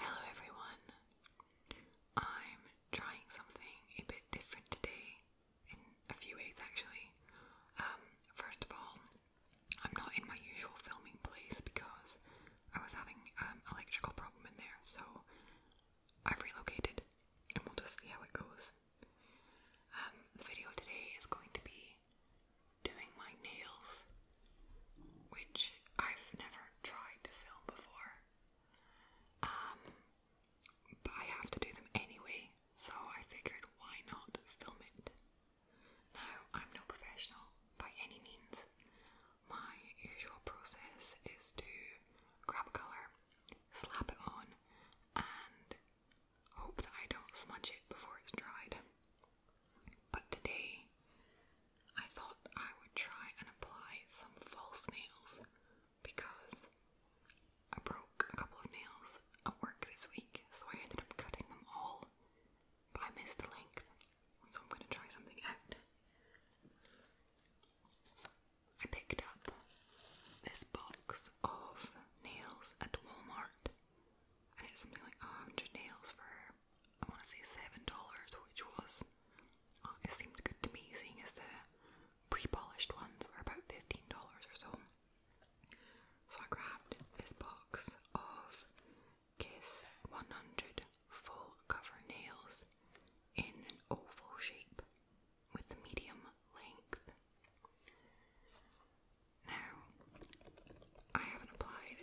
Hello everyone. I'm trying something a bit different today in a few ways actually. Um, first of all, I'm not in my usual filming place because I was having an um, electrical problem in there, so I've relocated and we'll just see how it goes. Um, the video today is going to be doing my nails, which I've never tried to film before. Um, but I have to do them anyway, so I figured why not film it? Now, I'm no professional by any means. My usual process is to grab a colour, slap it on, and hope that I don't smudge it before it's dried. But today, I thought I would try and apply some false nails because I broke a couple of nails at work this week, so I ended up cutting them all, but I missed the length, so I'm going to try something I picked up this box of nails at Walmart, and it's something like 100 nails for I want to say seven dollars, which was uh, it seemed good to me, seeing as the pre-polished ones were about fifteen dollars or so. So I grabbed this box of Kiss 100 full cover nails in an oval shape with the medium length. Now, I haven't applied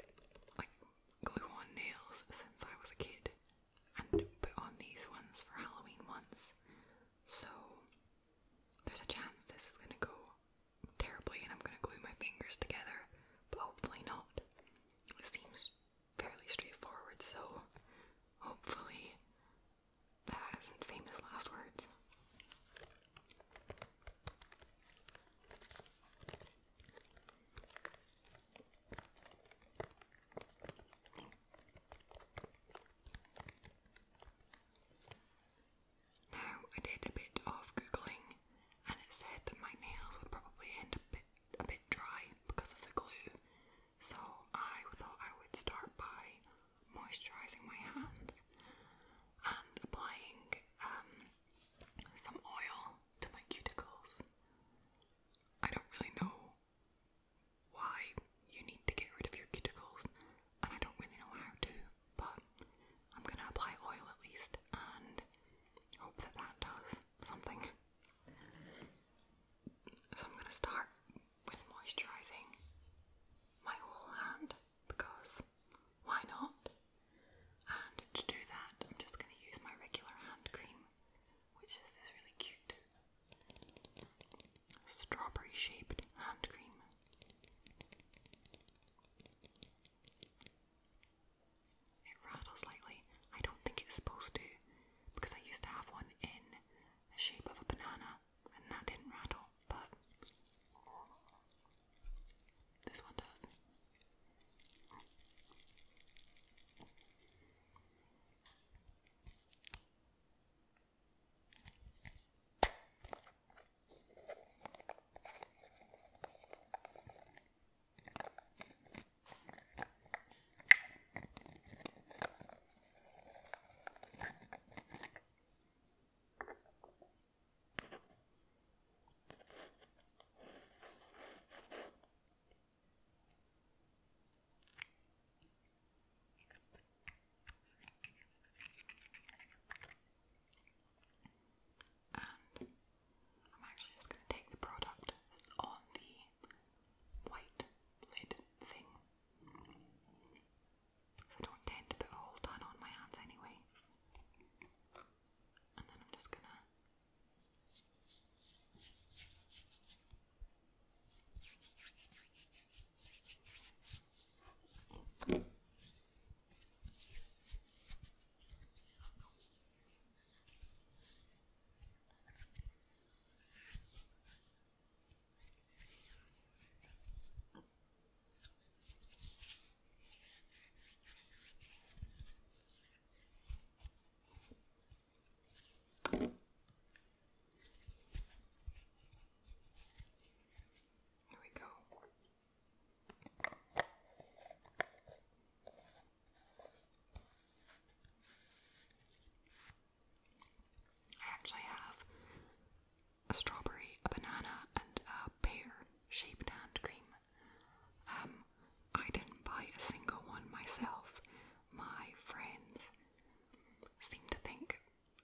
glue on nails since I was a kid and put on these ones for Halloween once. So there's a chance this is gonna go terribly and I'm gonna glue my fingers together, but hopefully not. It seems fairly straightforward, so hopefully that isn't famous last words. Now, I did a bit of googling and it said that my nails would probably end up a bit dry because of the glue, so I thought I would start by moisturising my hands and applying um, some oil to my cuticles. I don't really know why you need to get rid of your cuticles, and I don't really know how to, but I'm gonna apply oil at least and hope that that does something. So I'm gonna start with moisturising my whole hand because why not? And to do that, I'm just going to use my regular hand cream, which is this really cute strawberry shaped hand cream. It rattles slightly. I don't think it's supposed to, because I used to have one in the shape of a banana and that didn't rattle, but this one does. And I'm actually just going to take the product on the white lid thing. I don't tend to put a whole ton on my hands anyway and then I'm just gonna here we go. I actually have a strawberry, a banana, and a pear shaped hand cream. Um, I didn't buy a single one myself. My friends seem to think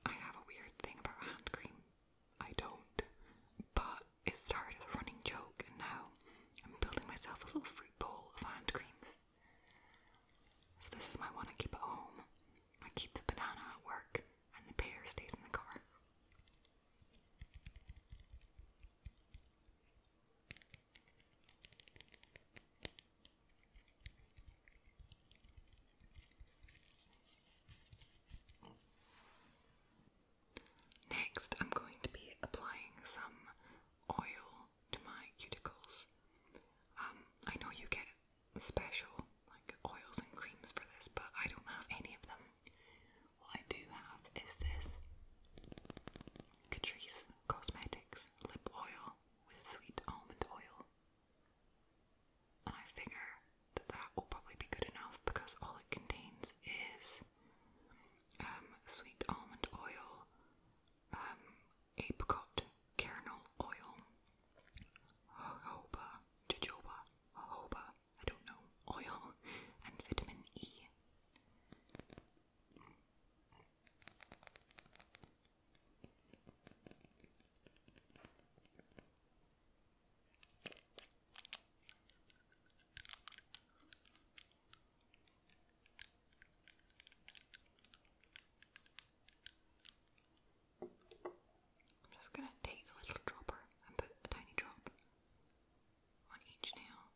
I have a weird thing about hand cream. I don't, but it started as a running joke, and now I'm building myself a little fruit bowl of hand creams. So, this is my one I keep at home. I keep the banana at work, and the pear stays in the car. Next, I'm going to be applying some oil to my cuticles. Um, I know you get special like oils and creams for this, but I don't have any of them. What I do have is this Catrice Cosmetics lip oil with sweet almond oil. And I figure that that will probably be good enough because all it contains is um, sweet almond oil, um, apricot kernel oil, jojoba, jojoba, jojoba, I don't know, oil and vitamin E. I'm just going to take the little dropper and put a tiny drop on each nail.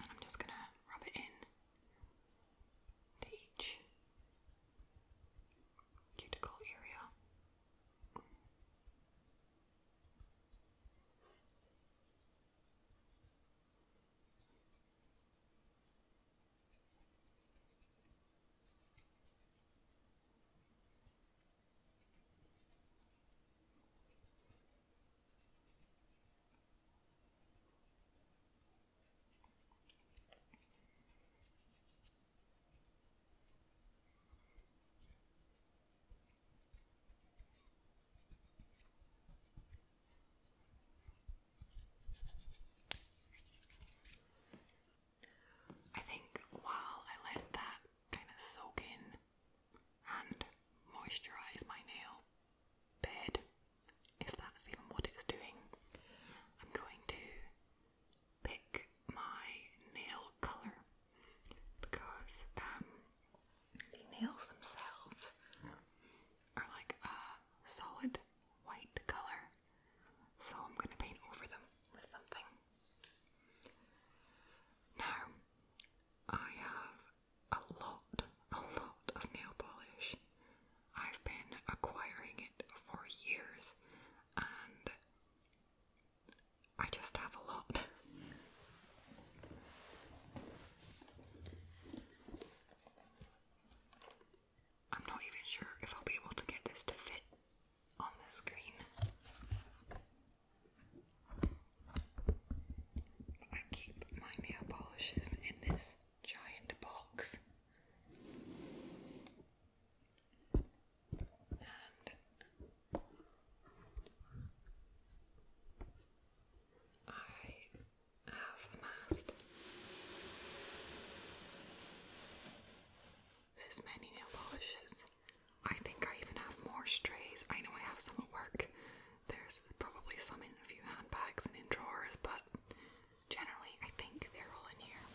I'm just going to rub it in to each cuticle area. I think while I let that kind of soak in and moisturise my nail, bed, if that's even what it's doing. I'm going to pick my nail colour because um, the nails themselves are like a solid white colour, so I'm going to paint over them with something. Now, I have a lot, a lot of nail polish. I've been acquiring it for years and I just have a lot. I'm not even sure if I'll be able to get this to fit on the screen. I keep my nail polishes in this giant box. And I have amassed this many nail polishes. I think I even have more strays. I know I have some at work, there's probably some in a few handbags and in drawers, but generally I think they're all in here.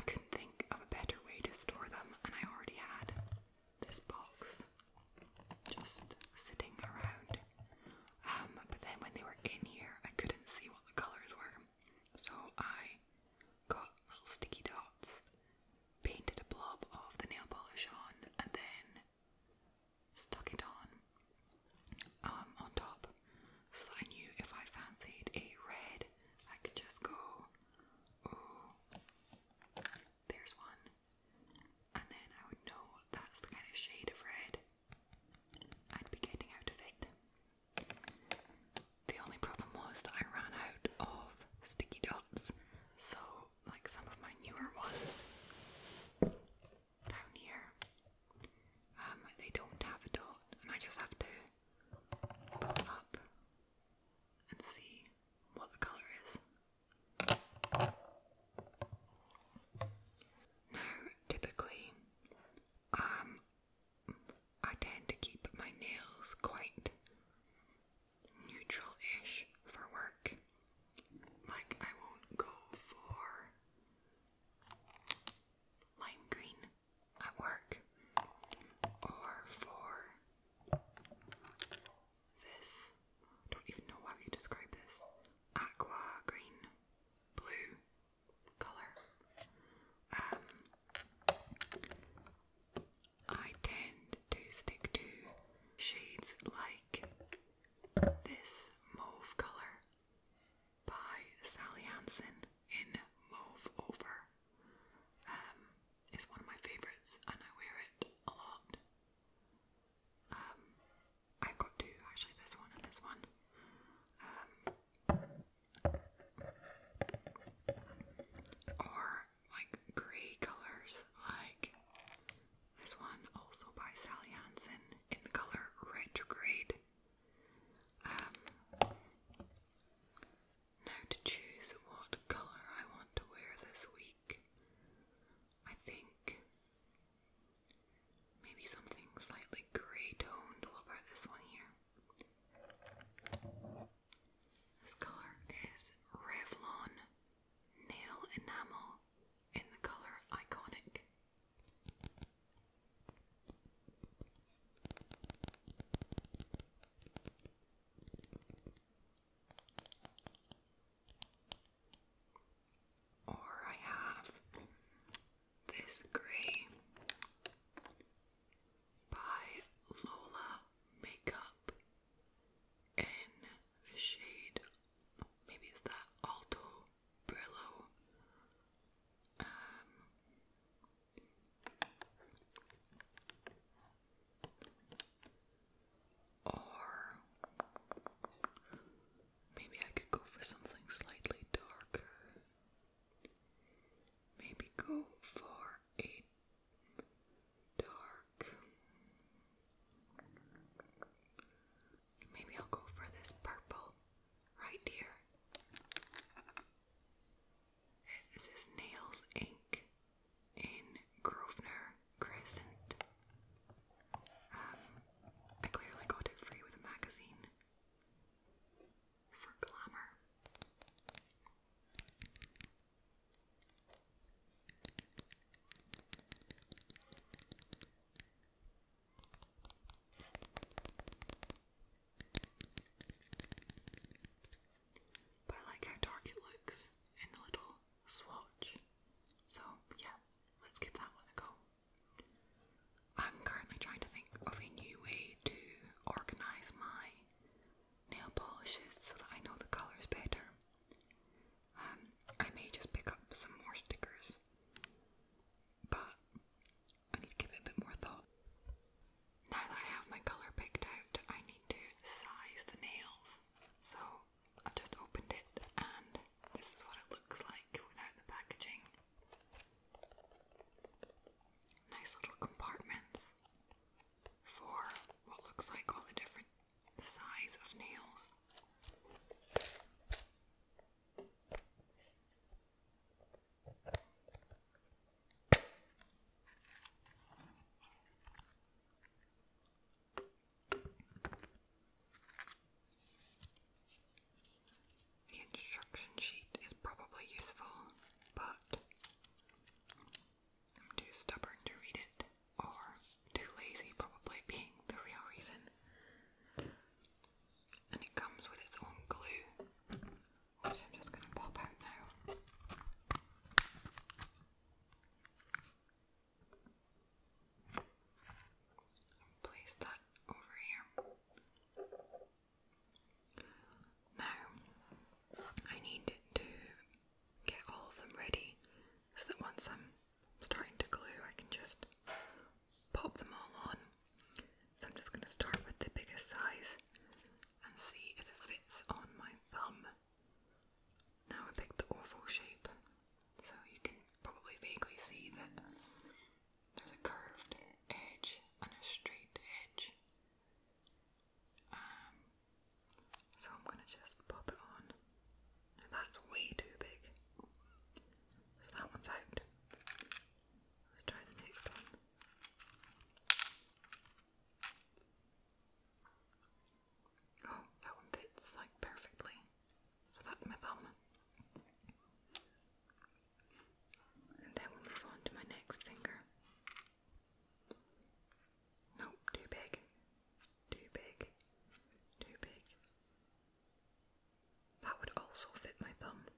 I couldn't think of a better way to store them, and I already had this box just sitting around. Um, but then when they were in here, I couldn't see what the colours were. So I got little sticky dots, painted a blob of the nail polish on, and then stuck it on um, on top so that I knew if I fancied a red, I could just go, oh, there's one. And then I would know that's the kind of shade of red I'd be getting out of it. The only problem was that I ran out of sticky dots, so, like some of my newer ones down here, um, they don't have a dot, and I just have to pull up and see what the colour is. Now, typically, um, I tend to keep my nails quite neutral ish for work. Like, I won't go for lime green at work or for this. I don't even know how you describe this aqua green, blue color. Um, I tend to stick to shades like this mauve color by Sally Hansen in Mauve Over. Um, it's one of my favourites and I wear it a lot. Um, i got two actually, this one and this one. Um, or like grey colors, like this one also by Sally Hansen in the color retrograde. Um, now to choose what color I want to wear this week, I think maybe something slightly grey toned. What about this one here? This color is Revlon nail enamel in the color Iconic. Or I have this Grey by Lola Makeup in the shade, maybe it's that Alto Brillo. Um, or maybe I could go for something slightly darker. Maybe go for a dark. Maybe I'll go for this purple right here. This is Nails Ink in Grosvenor Crescent. Um, I clearly got it free with a magazine for glamour. But I like how dark it looks in the little swatch. So, yeah, let's give that one a go. I'm currently trying to think of a new way to organise my nail polishes so that I know the colours better. Um, I may just pick up some more stickers, but I need to give it a bit more thought. Now that I have my colour picked out, I need to size the nails. So I've just opened it, and this is what it looks like without the packaging. Nice little compartments for what looks like all the different size of nails. The instruction sheet is probably useful, but I'm too stubborn to read it, or too lazy, probably being the real reason. And it comes with its own glue, which I'm just going to pop out now. Place that over here. Now, I need to get all of them ready so that once I'm starting to glue, I can just pop them all on. So I'm just going to start with the biggest size and see if it fits on my thumb. Now I picked the awful shape, so you can probably vaguely see that there's a curved edge and a straight edge. Um, so I'm gonna just pop it on. that's way too big. So that one's out. Let's try the next one. Oh, that one fits like perfectly. So that's my thumb. And then we'll move on to my next finger. Nope, too big. Too big. Too big. That would also fit my thumb.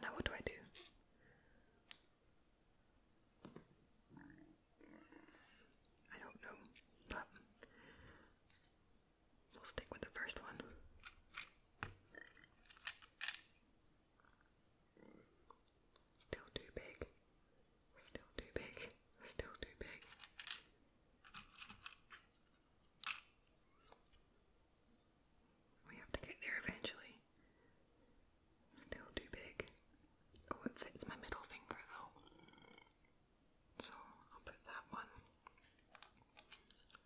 Now, what do I do? I don't know, but we'll stick with the first one. Still too big. Still too big. Still too big. We have to get there eventually. Still too big. Oh, it fits my middle finger though. So I'll put that one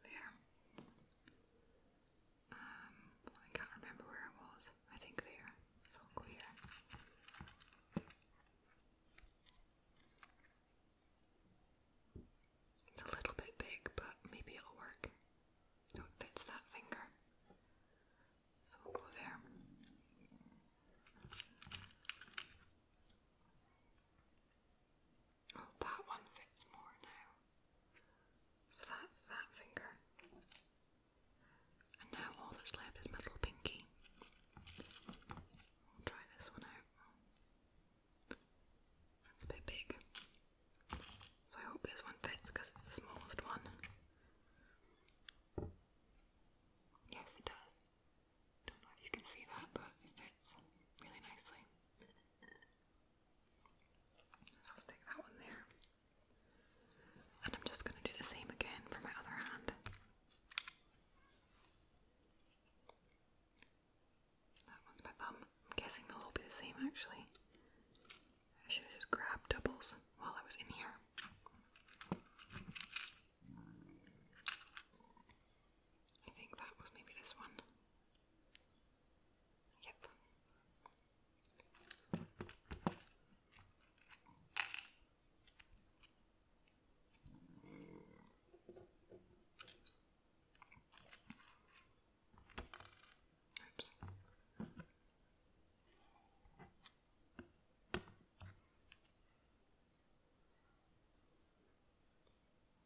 there. Um, I can't remember where it was. I think there. So It's a little bit big, but maybe it'll work. it fits that finger. So we'll go there. Oh, that one fits more now. So that's that finger. And now all that's left is my pinky. I'll try this one out. That's a bit big. So I hope this one fits because it's the smallest one. Yes, it does. Don't know if you can see that, but it fits really nicely. So i stick that one there. And I'm just going to do the same again for my other hand. That one's my thumb. I'm guessing they'll all be the same actually. I should have just grabbed doubles while I was in here. I think that was maybe this one. Yep.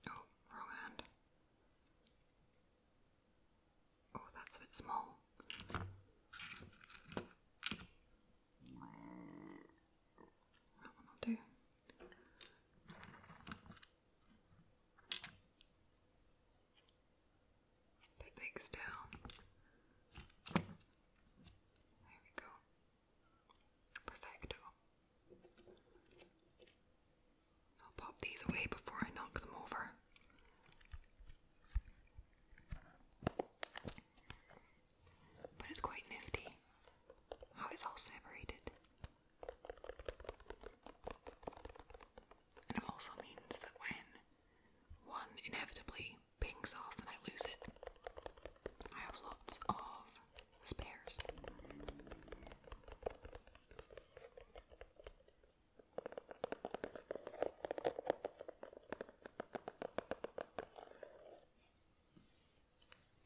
Oh, wrong hand. Oh, that's a bit small. That one will do. Bit big still. There we go. Perfecto. I'll pop these away before I knock them over. But it's quite nifty how it's all separated. And it also means that when one inevitably pings off and I lose it, I have lots of spares.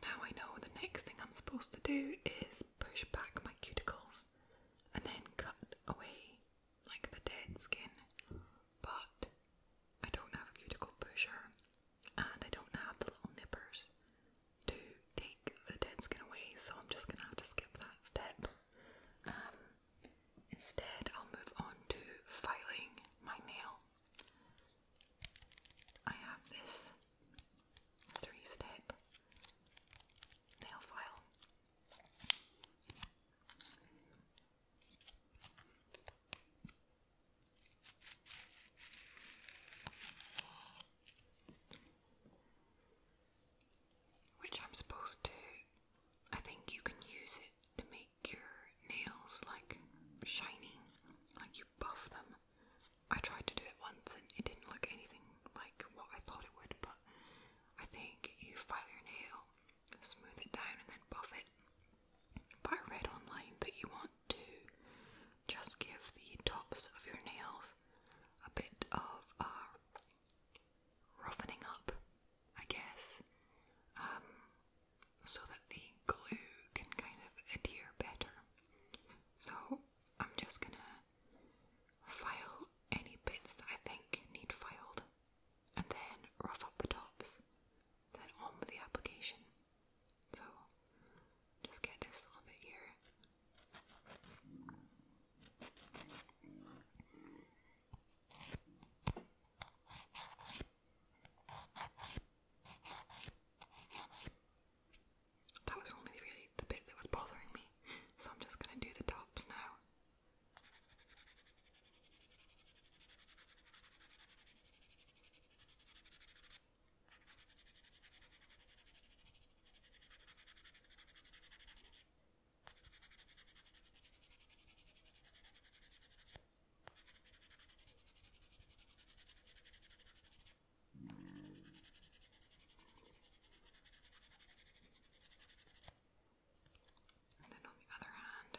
Now I know the next thing I'm supposed to do is push back my cuticles and then cut away like the dead skin, but I don't have a cuticle pusher and I don't have the little nippers, to take the dead skin away, so I'm just gonna have to skip that step. Um, instead, I'll move on to filing my nail. I have this three step nail file which I'm supposed to. I think you can use it to make your nails like shiny, like you buff them. I tried to do it once and it didn't look anything like what I thought it would, but I think you file your nail, smooth it down, and then buff it. But I read online that you want to just give the tops of your nails a bit of uh, roughening up, I guess, um, so that the glue can kind of adhere better. So I'm just gonna file any bits that I think need filed and then rough up the tops, then on with the application. So just get this little bit here. That was only really the bit that was bothering me, so I'm just going to do the tops now. And then on the other hand,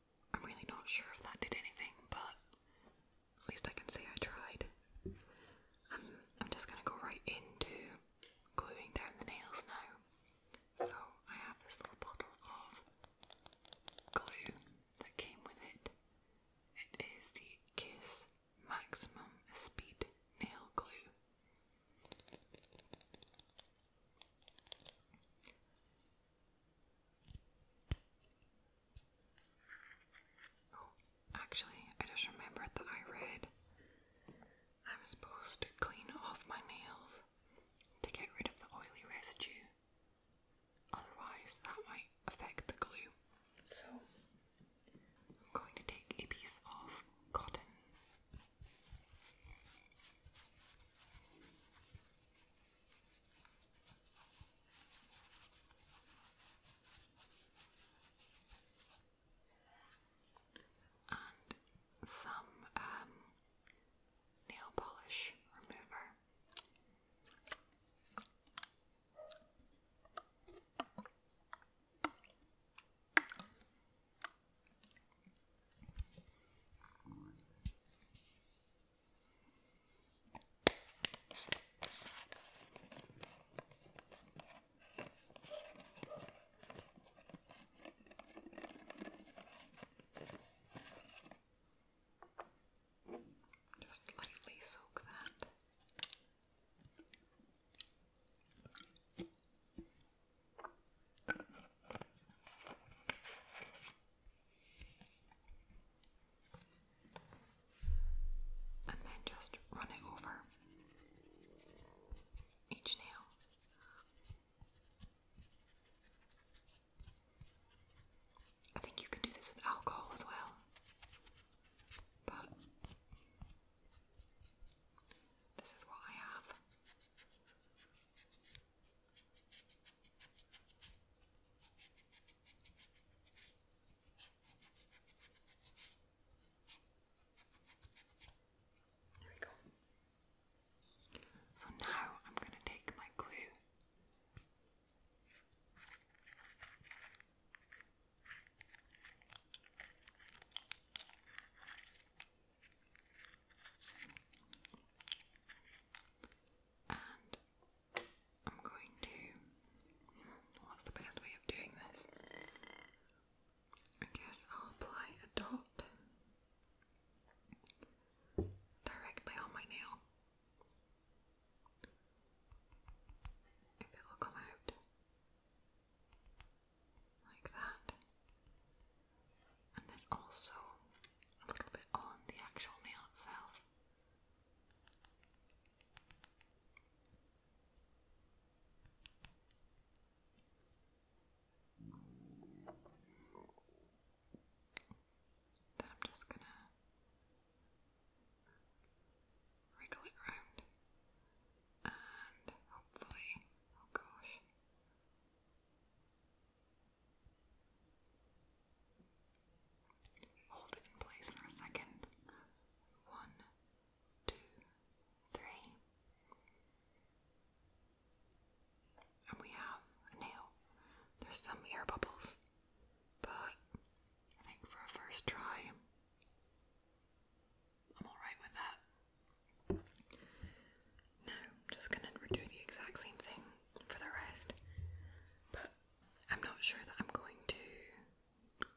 I'm really not sure if that did anything, but at least I can say I tried. I'm, just gonna go right into gluing down the nails now. So I have this little bottle of glue that came with it. It is the Kiss Maximum Speed Nail Glue. Oh, actually, I just remembered that I read I'm supposed to clean off my nails to get rid of the oily residue. Otherwise, that might affect the glue. So, I'm going to take a piece of cotton and some um, nail polish remover. Just lightly soak that and then just run it over each nail. I think you can do this with alcohol as well, but this is what I have. There we go. So now I'm going to take my glue and I'm going to. What's the best way of doing this? I guess I'll apply a dot directly on my nail. If it'll come out like that. And then also a little bit on the actual meal itself. Then I'm just gonna wriggle it round and hopefully, oh gosh, Hold it in place for a second. One, two, three. And we have a nail. There's some air bubbles, but I think for a first try, I'm alright with that. Now, just gonna redo the exact same thing for the rest. But I'm not sure that I'm going to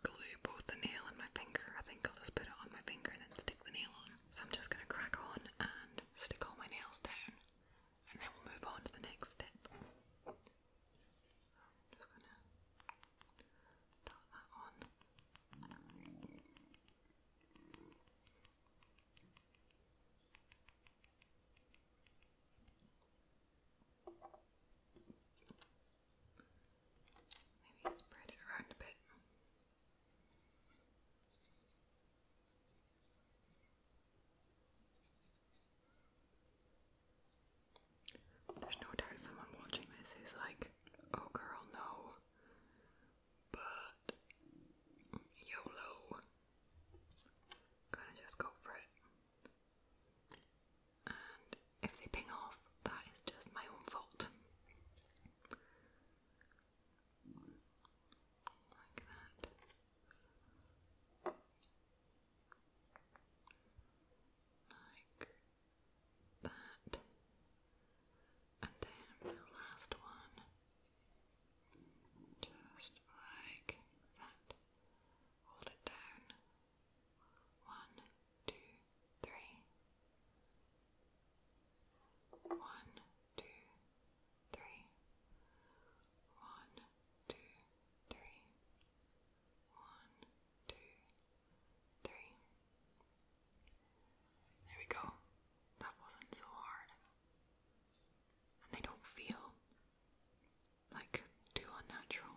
glue both the nail and my finger. I think I'll just put it on my finger and then stick the nail on. So I'm just going to crack on and stick all my nails down and then we'll move on to the next step. just going to dot that on. Maybe spread it around a bit. There's no doubt someone watching this is like, oh girl, no. But YOLO. Gonna just go for it. And if they ping off, that is just my own fault. Like that. Like that. And then the last one. Just like that. Hold it down. One, two, three. One, two, three. One, two, three. One, two, three. There we go. That wasn't so hard and they don't feel like too unnatural.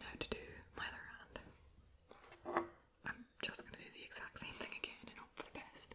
Now to do my other hand. I'm just gonna do the exact same thing again and hope for the best.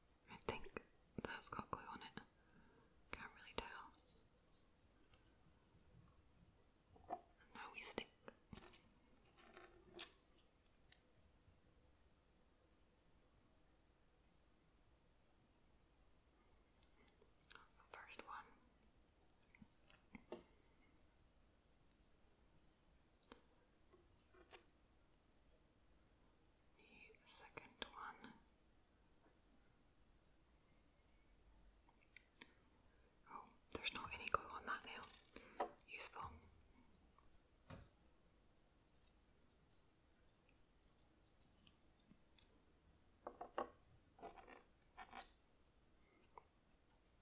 I think that's got glue on it. Can't really tell. now we stick. first one the second one. Oh, there's not any glue on that nail. Useful.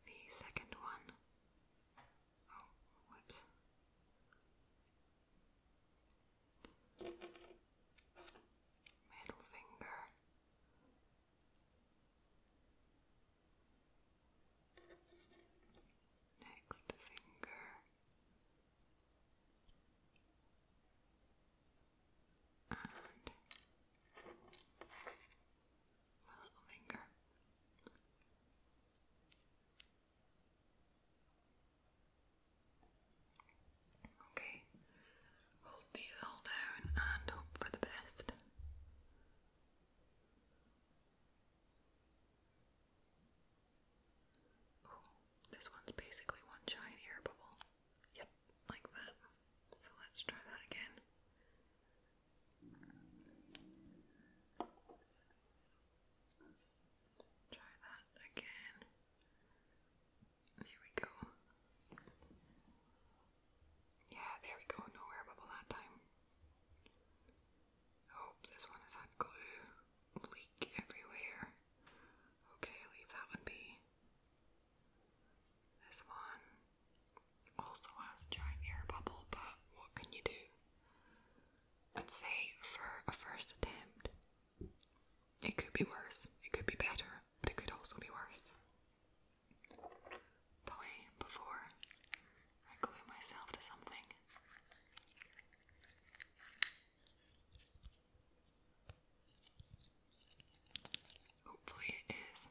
The second one. Oh, whoops middle finger. Next finger, and my finger. Okay, hold these all down and hope for the best. this one's basically one giant air bubble. Yep, like that. So let's try that again. Try that again. There we go. Yeah, there we go. No air bubble that time. Oh, this one has had glue leak everywhere. Okay, leave that one be. This one also has a giant air bubble, but what can you do? I'd say for a first attempt, it could be worse, it could be better, but it could also be worse. Probably before I glue myself to something. Hopefully it is.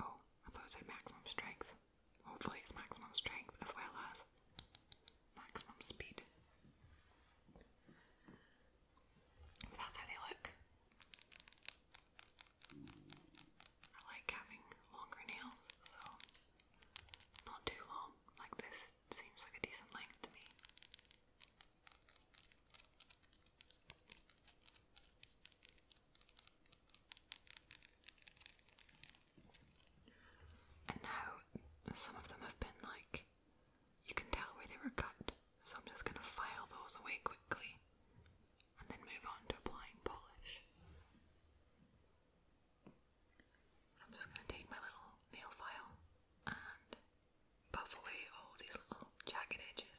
Oh, I thought it said maximum strength. Hopefully it's maximum strength as well as maximum speed. That's how they look. I like having longer nails, so not too long. Like this seems like a decent length to me. And now some of them have been like you can tell where they were cut, so I'm just going to file those away quickly and then move on to applying polish. So I'm just going to take my little nail file and buff away all these little jagged edges.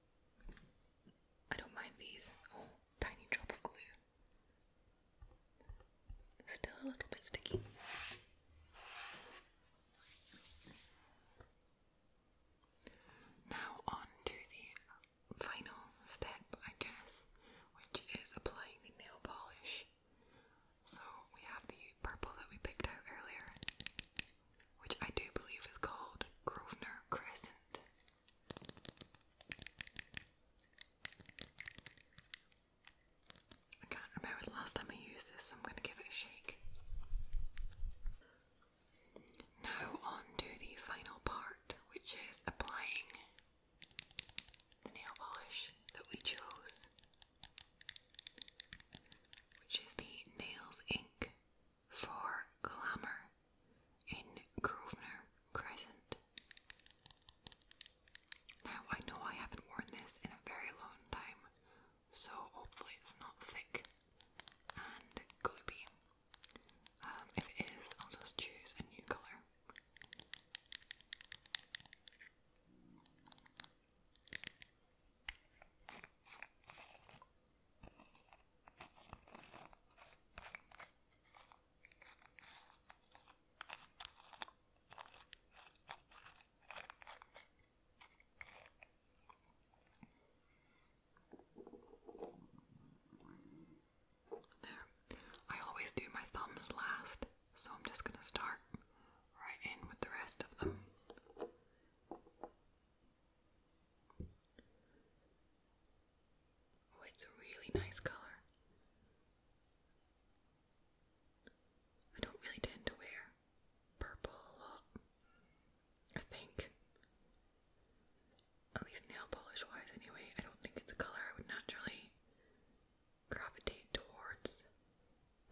I don't mind these. Oh, tiny drop of glue. Still a little bit sticky. Now, on to the final step, I guess, which is applying the nail polish. So, we have the purple that we picked out earlier, which I do believe is called Grosvenor Crescent. I can't remember the last time I used this, so I'm going to give it a shake. Now, on to the final part, which is applying the nail polish that we chose, which is the Nails Ink for glamour in Grosvenor Crescent. Now, I know I haven't worn this in a very long time, so hopefully it's not thick and gloopy. Um, if it is, I'll just choose a new colour. I always do my thumbs last, so I'm just going to start right in with the rest of them. Oh, it's a really nice color. I don't really tend to wear purple a lot, I think. At least nail polish wise, anyway. I don't think it's a color I would naturally gravitate towards.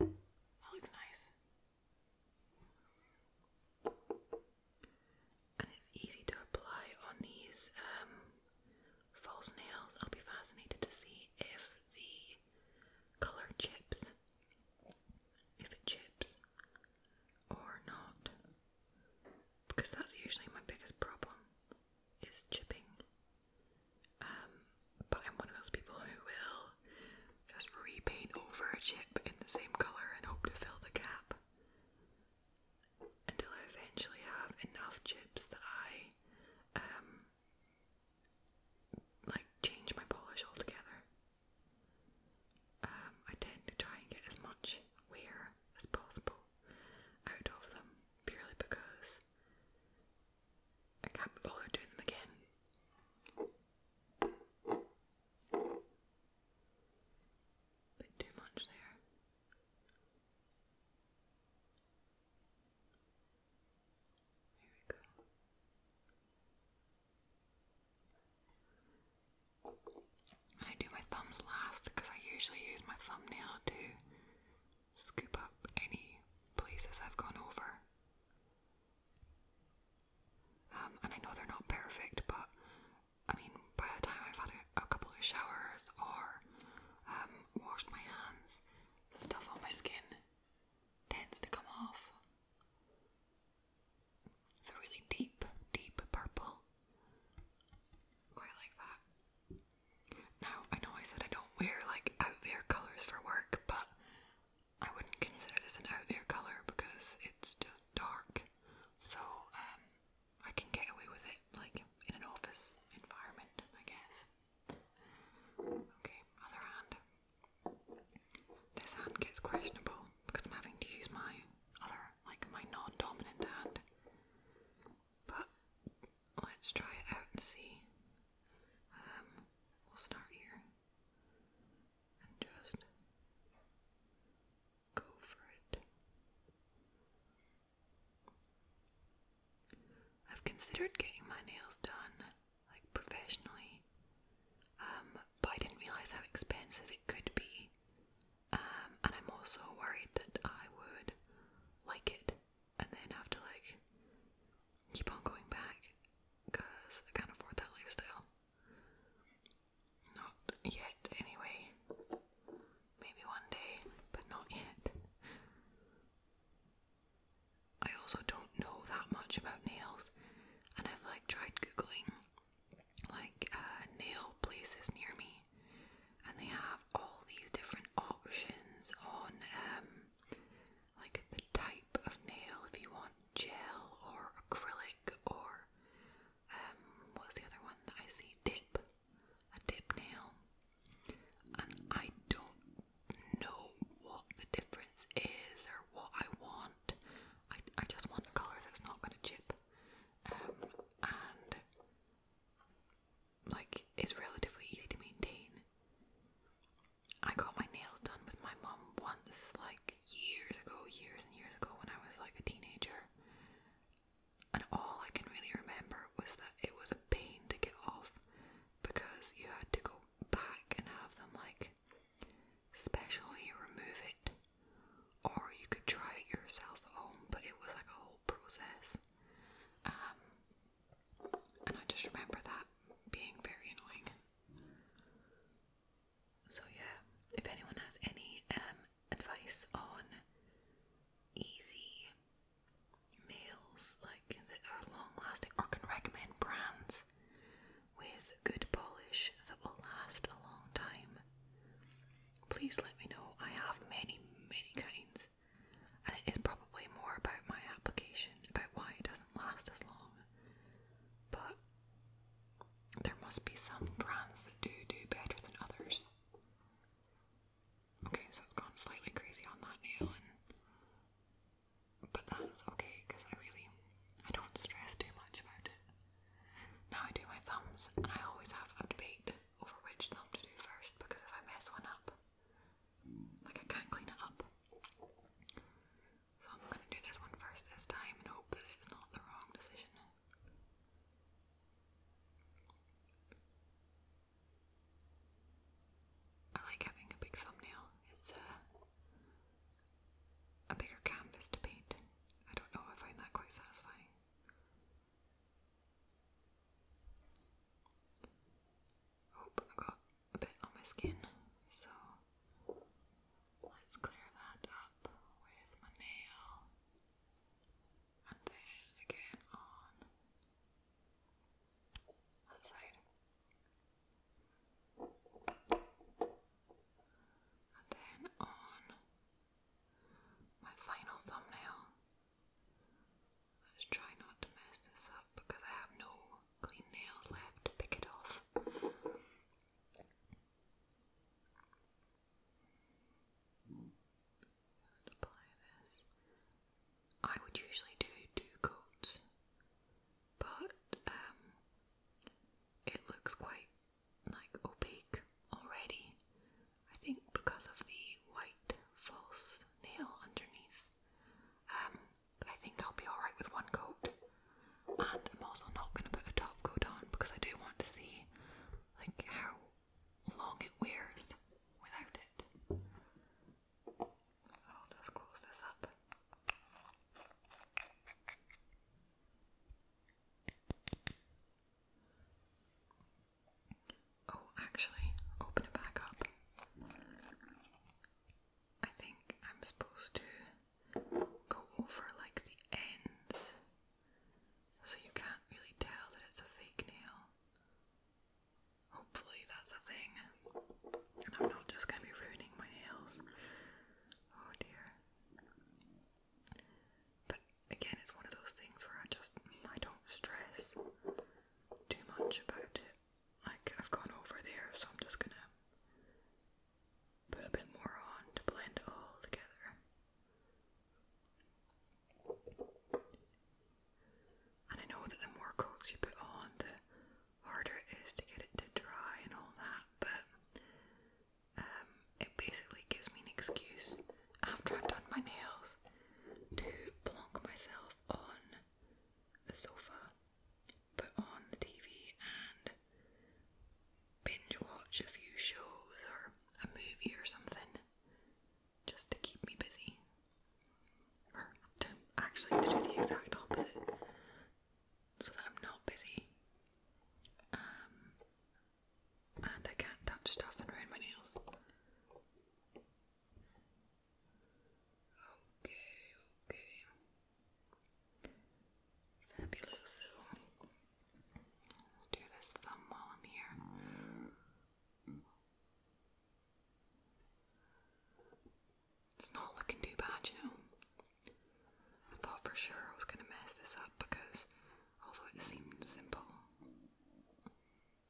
That looks nice and it's easy to apply on these um, false nails. I'll be fascinated to see if the colour chips, if it chips or not, because that's usually my biggest problem is chipping. Um, but I'm one of those people who will just repaint over a chip in the same colour and hope to fill the gap until I eventually have enough chips that I um like change my polish altogether. Um, I tend to try and get as much wear as possible out of them purely because I can't be bothered doing them again. Bit too much there. I do my thumbs last because I usually use my thumbnail to scoop up any places I've gone over. Um, and I know they're not perfect, but I mean, by the time I've had a, couple of showers or um, washed my hands, the stuff on my skin tends to come off. It's a really deep, deep purple. Quite like that. Now, I know I said I don't wear like out there colours for work, but I wouldn't consider this an out there colour because it's just dark. So, um, I can get away with it, like in an office environment, I guess. Okay, other hand. This hand gets questionable because I'm having to use my other, like my non dominant hand. But let's try it out and see. Um, we'll start here and just go for it. I've considered getting my nails done, like professionally, um, but I didn't realise how expensive it could be, um, and I'm also worried that I would like it and then have to like keep on going back because I can't afford that lifestyle. Not yet, anyway. Maybe one day, but not yet. I also don't know that much about nails, and I've like tried googling like uh, nail places near me, and they have all these different options on um, like the type of nail if you want gel or acrylic or um, what's the other one that I see? Dip. A dip nail. And I don't know what the difference is or what I want. I, I just want a colour that's not going to chip. Um, and like is relatively easy to maintain. I got my nails done with my mom once, like years ago, years and years ago when I was like a teenager and all I can really remember was that it was a pain to get off because you had to go back and have them like specially remove it, or you could try it yourself at home, but it was like a whole process. Um, and I just remember that being very annoying. So, yeah, if anyone has any um, advice on easy meals like that are long lasting or can recommend brands with good polish that will last a long time. Please let me know. I have many, many kinds, and it is probably more about my application, about why it doesn't last as long. But there must be some brands that do do better than others. Okay, so it's gone slightly crazy on that nail, but that's okay because I really I don't stress too much about it. Now I do my thumbs, and I always have a debate over which thumb to do first because if I mess one up, like I can't clean it up. So I'm gonna do this one first this time and hope that it's not the wrong decision. I like having a big thumbnail. It's a bigger canvas to paint. I don't know. I find that quite satisfying. Hope I got a bit on my skin, so let's clear that up with my nail and then again on that side, and then on my final thumbnail. Let's try not to mess this up because I have no clean nails left to pick it off. I would usually do two coats, but um, it looks quite like opaque already. I think because of the white false nail underneath. Um, I think I'll be alright with one coat, and I'm also not going to put a top coat on because I do want to see like how long it wears without it. So I'll just close this up. Oh, actually, open it back up. I think I'm supposed to go over like the ends so you can't really tell that it's a fake nail. Hopefully, that's a thing. I'm not just gonna be ruining my nails. Oh dear. But again, it's one of those things where I just I don't stress too much about it. Like I've gone over there, so I'm just gonna put a bit more on to blend it all together. And I know that the more coats you put on, the harder it is to get it to dry and all that, but um, it basically gives me an excuse after I've done my nails to plonk myself on the sofa, put on the TV, and binge watch a few shows or a movie or something just to keep me busy. Or to actually to do the exact opposite so that I'm not busy. Um and I can touch stuff and around my nails. Okay, okay. Fabulous do this thumb while I'm here. It's not looking too bad, you know. I thought for sure I was going to mess this up because although it seems simple,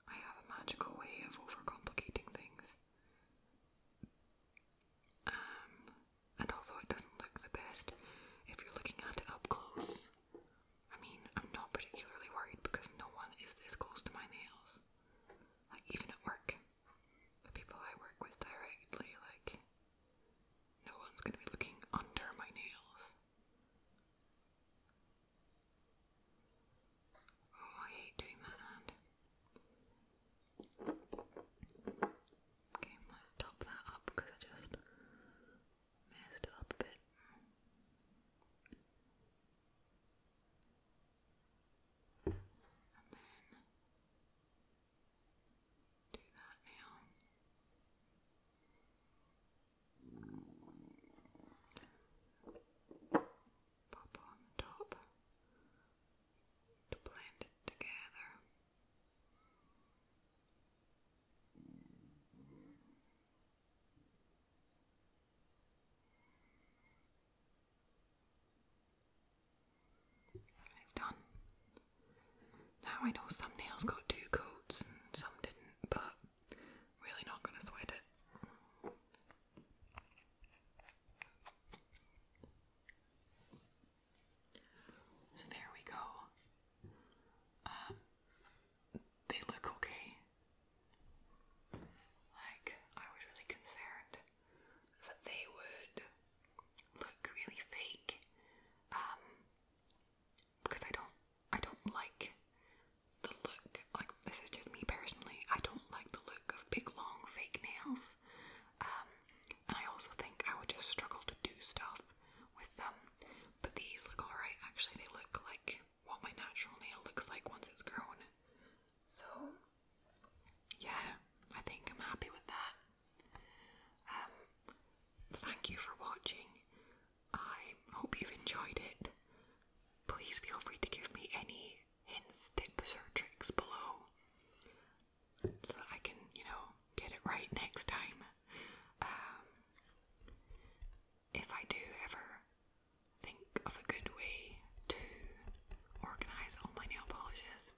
I have a magical way of overcomplicating things. Um, and although it doesn't look the best, if you're looking at it up close, I mean, I'm not particularly worried because no one is this close to my nails. Like, even at work, the people I work with directly, like, no one's gonna be looking under my nails. Oh, I hate doing that Okay, I'm top that up because I just messed up a bit. do that now. Pop on the top to blend it together. It's done. Now I know some nails got two coats and some didn't, but really not going to sweat it. So there we go. Um, they look okay. Like, I was really concerned that they would look really fake. Um, because I don't, I don't like the look. Like, this is just me personally. I don't like the look of big, long, fake nails. Um, and I also think I would just struggle to do stuff with them. But these look alright, actually, they look like what my natural nail looks like once it's grown. So, yeah, I think I'm happy with that. Um, thank you for watching. I hope you've enjoyed it. Please feel free to give me any hints, tips, or tricks below so that I can, you know, get it right next time. Um, if I do ever think of a good way to organise all my nail polishes,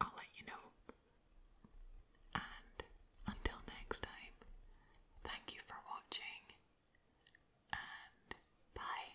I'll let you know. And until next time, thank you for watching and bye.